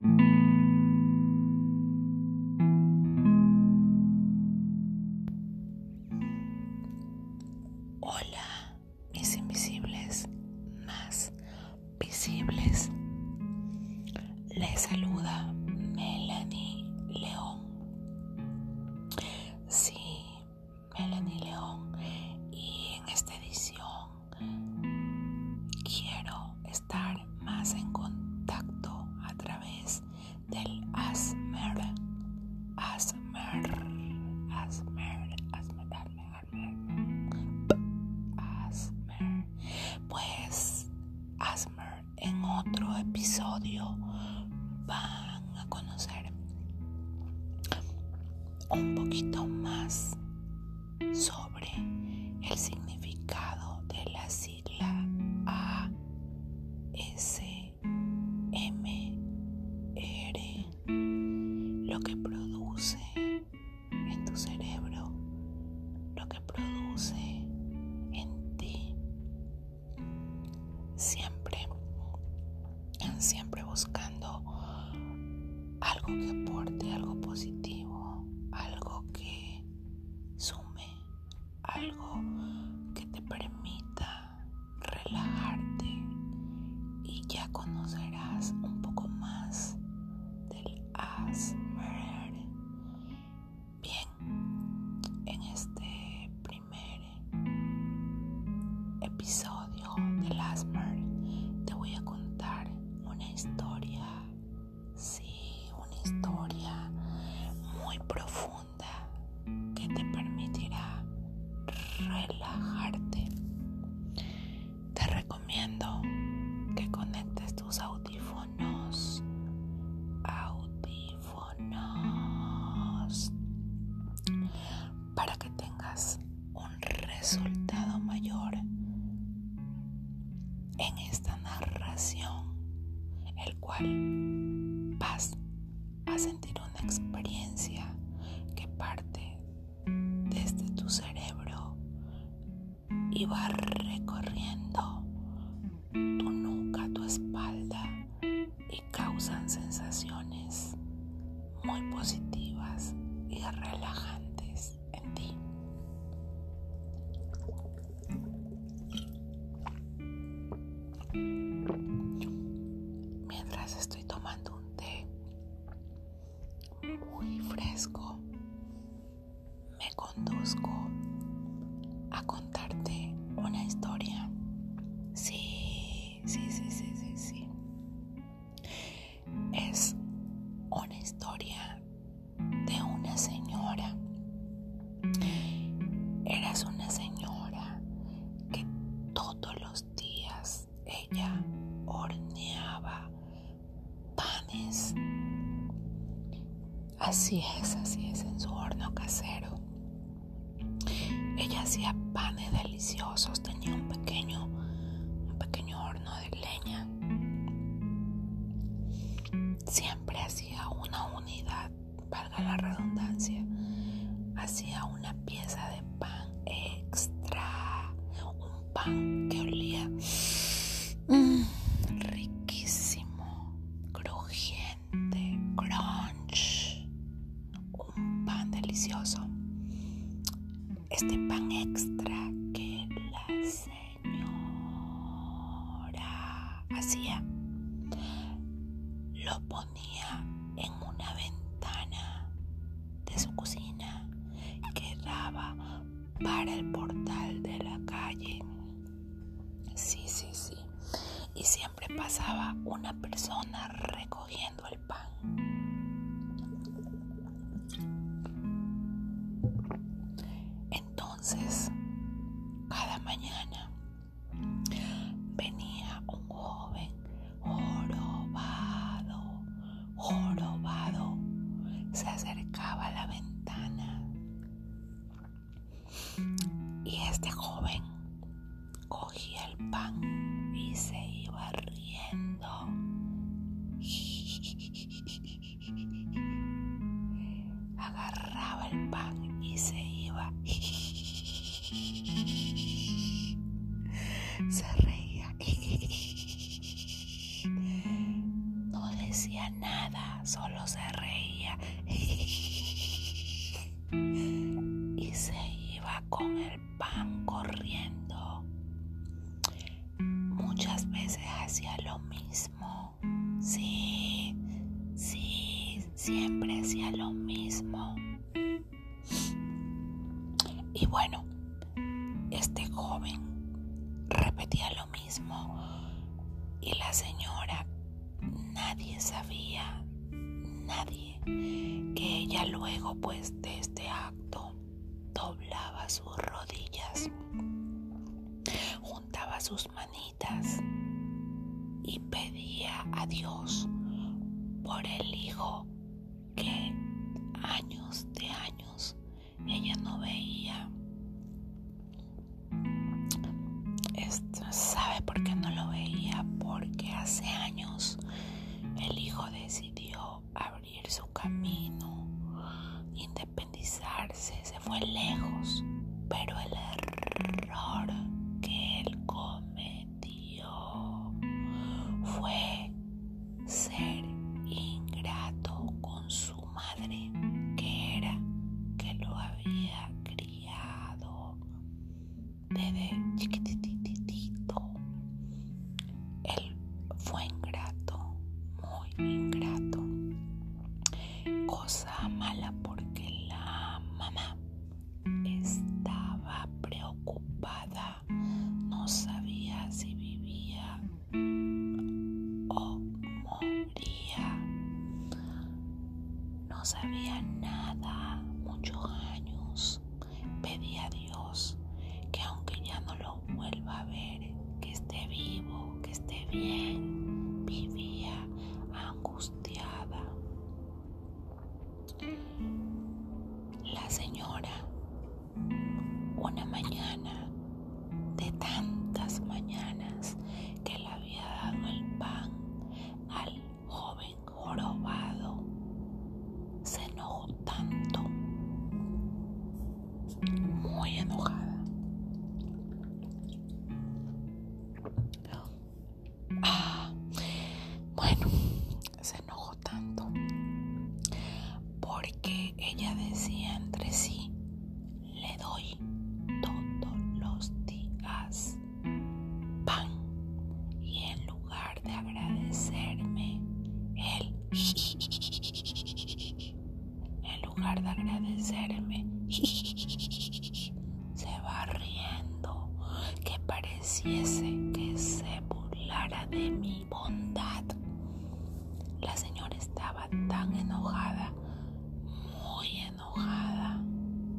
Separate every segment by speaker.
Speaker 1: Hola, mis invisibles más visibles. Les saluda Melanie León. Sí, Melanie León. Y en esta edición Quiero estar más en contacto a través del Asmer, Asmer, Asmer, Asmer, Asmer. Pues Asmer, en otro episodio van a conocer un poquito más sobre el significado de la sigla R lo que produce en tu cerebro, lo que produce en ti. Siempre, siempre buscando algo que aporte, algo positivo, algo que sume, algo que te permita relajarte y ya conocerás un poco más del Asmer. Bien, en este primer episodio del Asmer te voy a contar una historia Sí, una historia muy profunda que te permitirá relajarte. Te recomiendo que conectes tus audífonos. Audífonos. Para que tengas resultado mayor en esta narración, el cual vas a sentir una experiencia que parte desde tu cerebro y va recorriendo tu nuca, tu espalda y causan sensaciones muy positivas y relajantes. Mientras estoy tomando un té muy fresco, me conduzco a contarte una historia. Sí, sí, sí, sí, sí, sí es una historia de una señora. Eras una señora que todos los días ella horneaba panes. Así es, así es en su horno casero. Ella hacía panes deliciosos, tenía un pequeño, un pequeño horno de leña. Siempre hacía una unidad, valga la redundancia, hacía una pieza de pan extra, un pan que olía mm, riquísimo, crujiente, crunch, un pan delicioso. Este pan extra que las señora hacía, lo ponía en una ventana de su cocina que daba para el portal de la calle. Sí, sí, sí. Y siempre pasaba una persona recogiendo el pan. Entonces, cada mañana venía un joven jorobado, jorobado, se acercaba a la ventana y este joven cogía el pan y se iba riendo. Agarraba el pan y se iba. Se reía. No decía nada, solo se reía. Y se iba con el pan corriendo muchas veces hacía lo mismo. Sí, sí, siempre hacía lo mismo. Y bueno, este joven repetía lo mismo y la señora, nadie sabía, nadie, que ella luego pues de este acto doblaba sus rodillas, juntaba sus manitas y pedía a Dios por el hijo que años de años ella no veía. Esto, ¿Sabe por qué no lo veía? Porque hace años el hijo decidió abrir su camino, independizarse, se fue lejos, pero el error que él cometió fue ser ingrato con su madre, que era que lo había criado desde chiquititito. Él fue ingrato, muy ingrato. Cosa mala porque la mamá estaba preocupada, no sabía si vivía o moría. No sabía nada, muchos años. Pedí a Dios que aunque ya no lo vuelva a ver, que esté vivo, que esté bien, vivía angustiada. La señora, una mañana de tantas mañanas que le había dado el pan al joven jorobado, se enojó tanto, muy enojada. Ah, bueno, se enojó tanto porque ella decía entre sí, le doy todos los días pan y en lugar de agradecerme, él, en lugar de agradecerme, se va riendo, que pareciese que se burlara de mi bondad. La señora estaba tan enojada, muy enojada,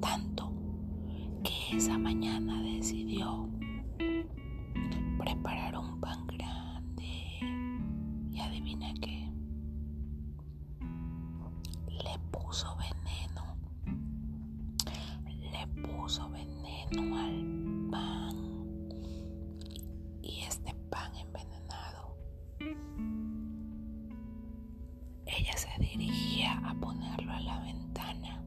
Speaker 1: tanto que esa mañana decidió prepararon un pan grande y adivina qué, le puso veneno, le puso veneno al pan y este pan envenenado, ella se dirigía a ponerlo a la ventana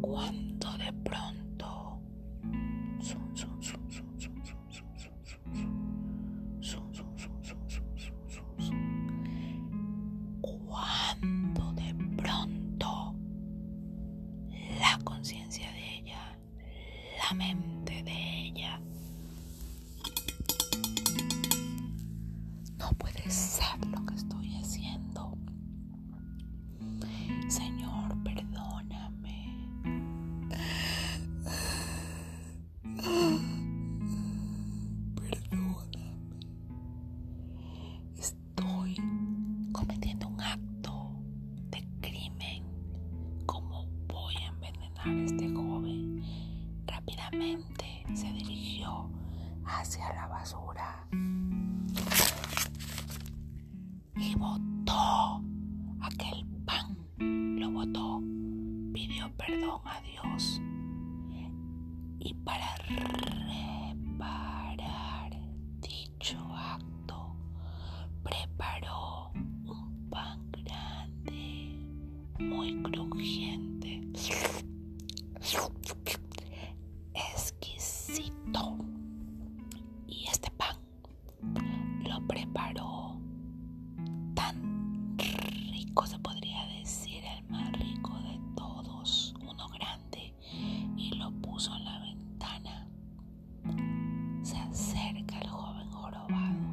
Speaker 1: cuando de pronto cuando de pronto la conciencia de ella, la mente de ella, no puede saber lo que estoy haciendo. Señor, perdóname. Perdóname. Estoy cometiendo un acto de crimen. ¿Cómo voy a envenenar a este joven? Rápidamente se dirigió hacia la basura y botó, aquel pan, lo botó, pidió perdón a Dios y para reparar dicho acto preparó un pan grande, muy crujiente exquisito. Y este pan lo preparó tan rico, se podría decir, el más rico de todos, uno grande, y lo puso en la ventana. Se acerca el joven jorobado,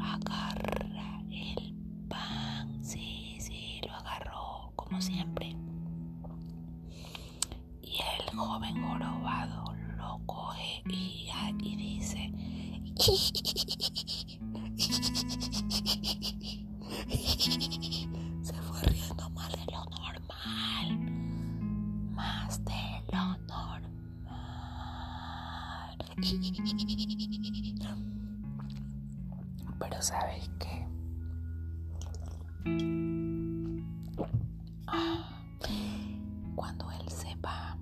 Speaker 1: agarra el pan, sí, sí, lo agarró, como siempre. Y el joven jorobado lo coge y, ah, dice, se fue riendo más de lo normal, más de lo normal. Pero sabes qué? Cuando él se va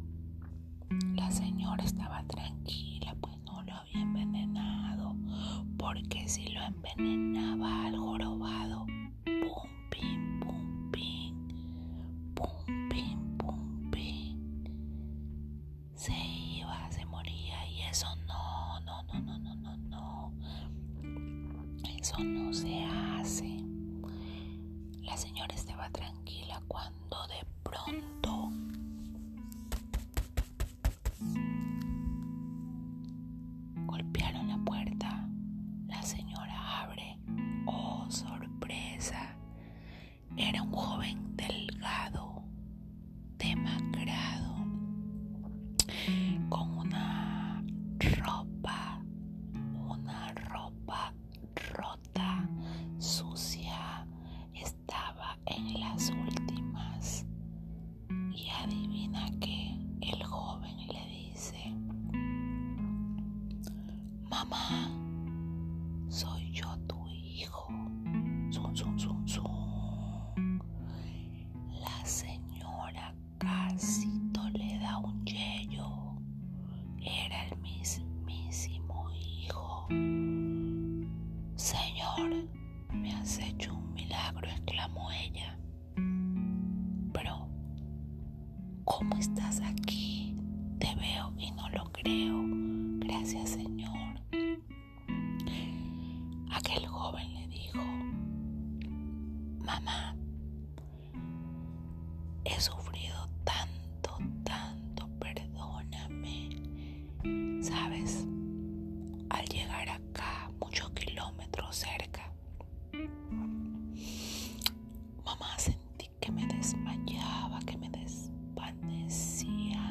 Speaker 1: la señora estaba tranquila, pues no lo había envenenado, porque si lo envenenaba al jorobado, pum, pim, pum, pim, pum, pim, pum, pim, se iba, se moría y eso no, no no, no, no, no, no, no. Eso no se hace. La señora estaba tranquila cuando de pronto... Golpearon la puerta. La señora abre. ¡Oh, sorpresa! Era un joven delgado, demacrado, con una ropa, una ropa rota, sucia, estaba en las últimas. Y adivina que el joven le dice, mamá, soy yo tu hijo. la señora Casito le da un yello. Era el mismísimo hijo. Señor, me has hecho un milagro, exclamó ella. Pero, ¿cómo estás aquí? Te veo y no lo creo. Gracias, Señor. Aquel joven le dijo, mamá, he sufrido tanto, tanto, perdóname. Sabes, al llegar acá, muchos kilómetros cerca, mamá sentí que me desmayaba, que me desvanecía,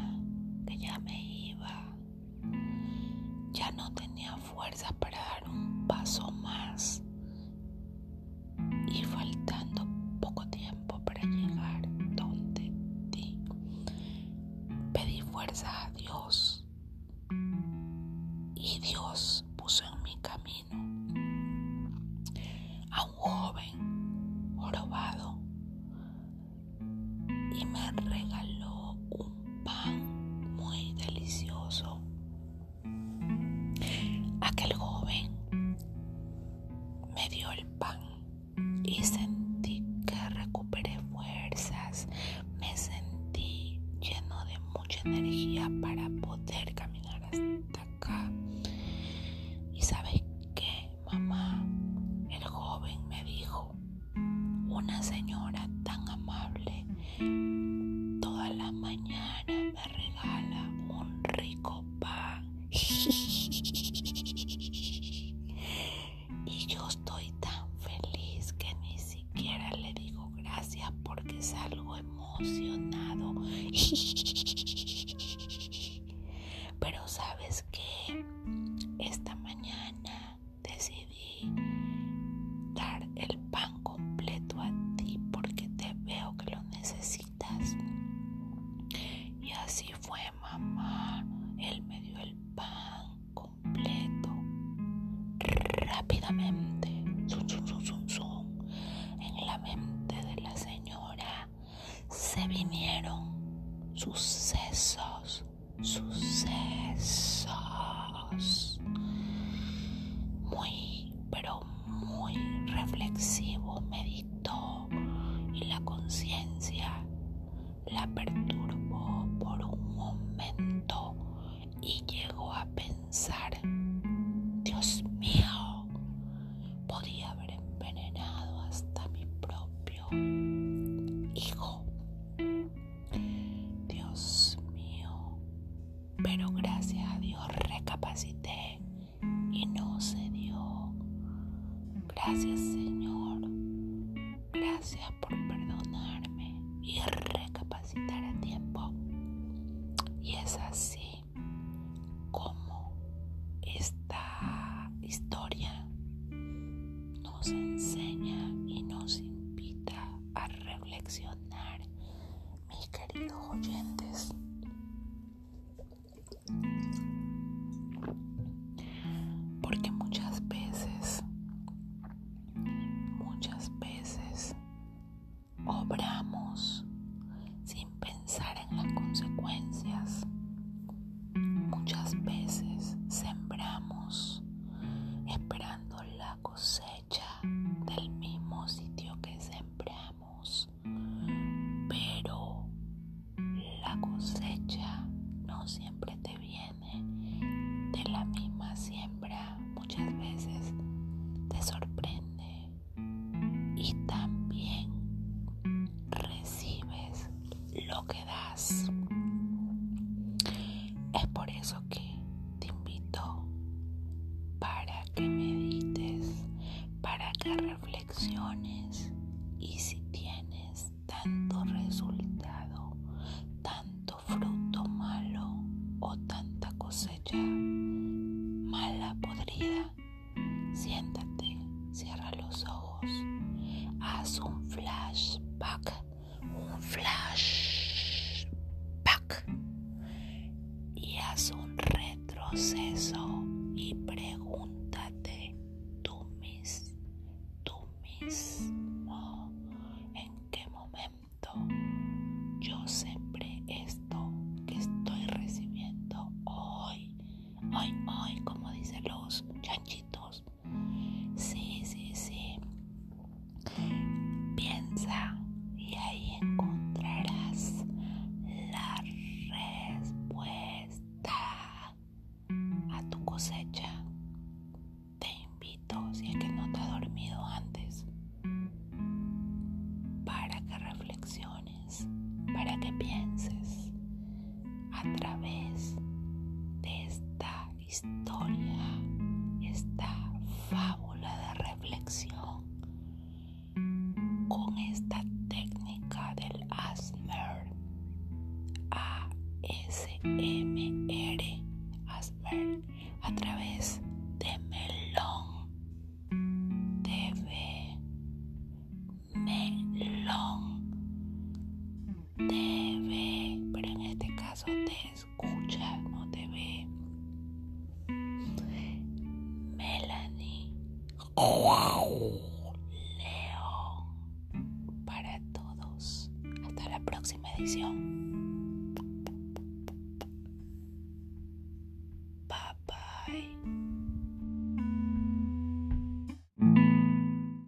Speaker 1: que ya me iba. Ya no tenía fuerza para dar un paso más y faltando poco tiempo para llegar donde ti, pedí fuerza a Dios y Dios puso en mi camino a un joven jorobado y me regaló un pan muy delicioso. Aquel joven me dio el pan y sentí que recuperé fuerzas, me sentí lleno de mucha energía para poder caminar hasta acá. ¿Y sabes qué, mamá? El joven me dijo, una señora tan amable toda la mañana me regala un rico pan. Y yo estoy tan feliz que ni siquiera le digo gracias porque salgo emocionado. Pero sabes qué? esta mañana decidí dar el pan completo a ti porque te veo que lo necesitas. Y así fue, mamá. Él me dio el pan completo rápidamente. en la mente de la señora se vinieron sucesos sucesos. Muy, pero muy reflexivo, meditó y la conciencia la perturbó por un momento y llegó a pensar, Dios mío, podía haber envenenado hasta mi propio hijo. Dios mío, pero gracias a Dios recapacité y no se dio. Gracias Señor, gracias por perdonarme y recapacitar a tiempo. Y es así como esta historia nos enseña y nos invita a reflexionar, mis queridos oyentes. Porque muchas veces, muchas veces obramos sin pensar en las consecuencias Muchas veces sembramos esperando la cosecha del mismo sitio que sembramos, pero la cosecha no siempre te viene de la misma siembra. Muchas veces te sorprende y también recibes lo que es por eso que te invito para que medites, para que reflexiones y si tienes tanto resultado, tanto fruto malo o tanta cosecha mala, podrida, siéntate, cierra los ojos, haz un flashback un flash pack y haz un retroceso y pregúntate tú, mis, tú mismo en qué momento yo siempre esto que estoy recibiendo hoy, hoy, hoy, como dicen los chanchitos. Sí, sí, sí. Piensa y ahí encontrarás la respuesta a tu cosecha. Te invito, si es que no te ha dormido antes, para que reflexiones, para que pienses a través de esta historia, esta fábula de reflexión con esta técnica del ASMR, ASMR, ASMR, a través de Melón de Melón te ve, pero en este caso te escucha, no te ve. Melanie. Leo, Para todos. Hasta la próxima edición. Bye, bye.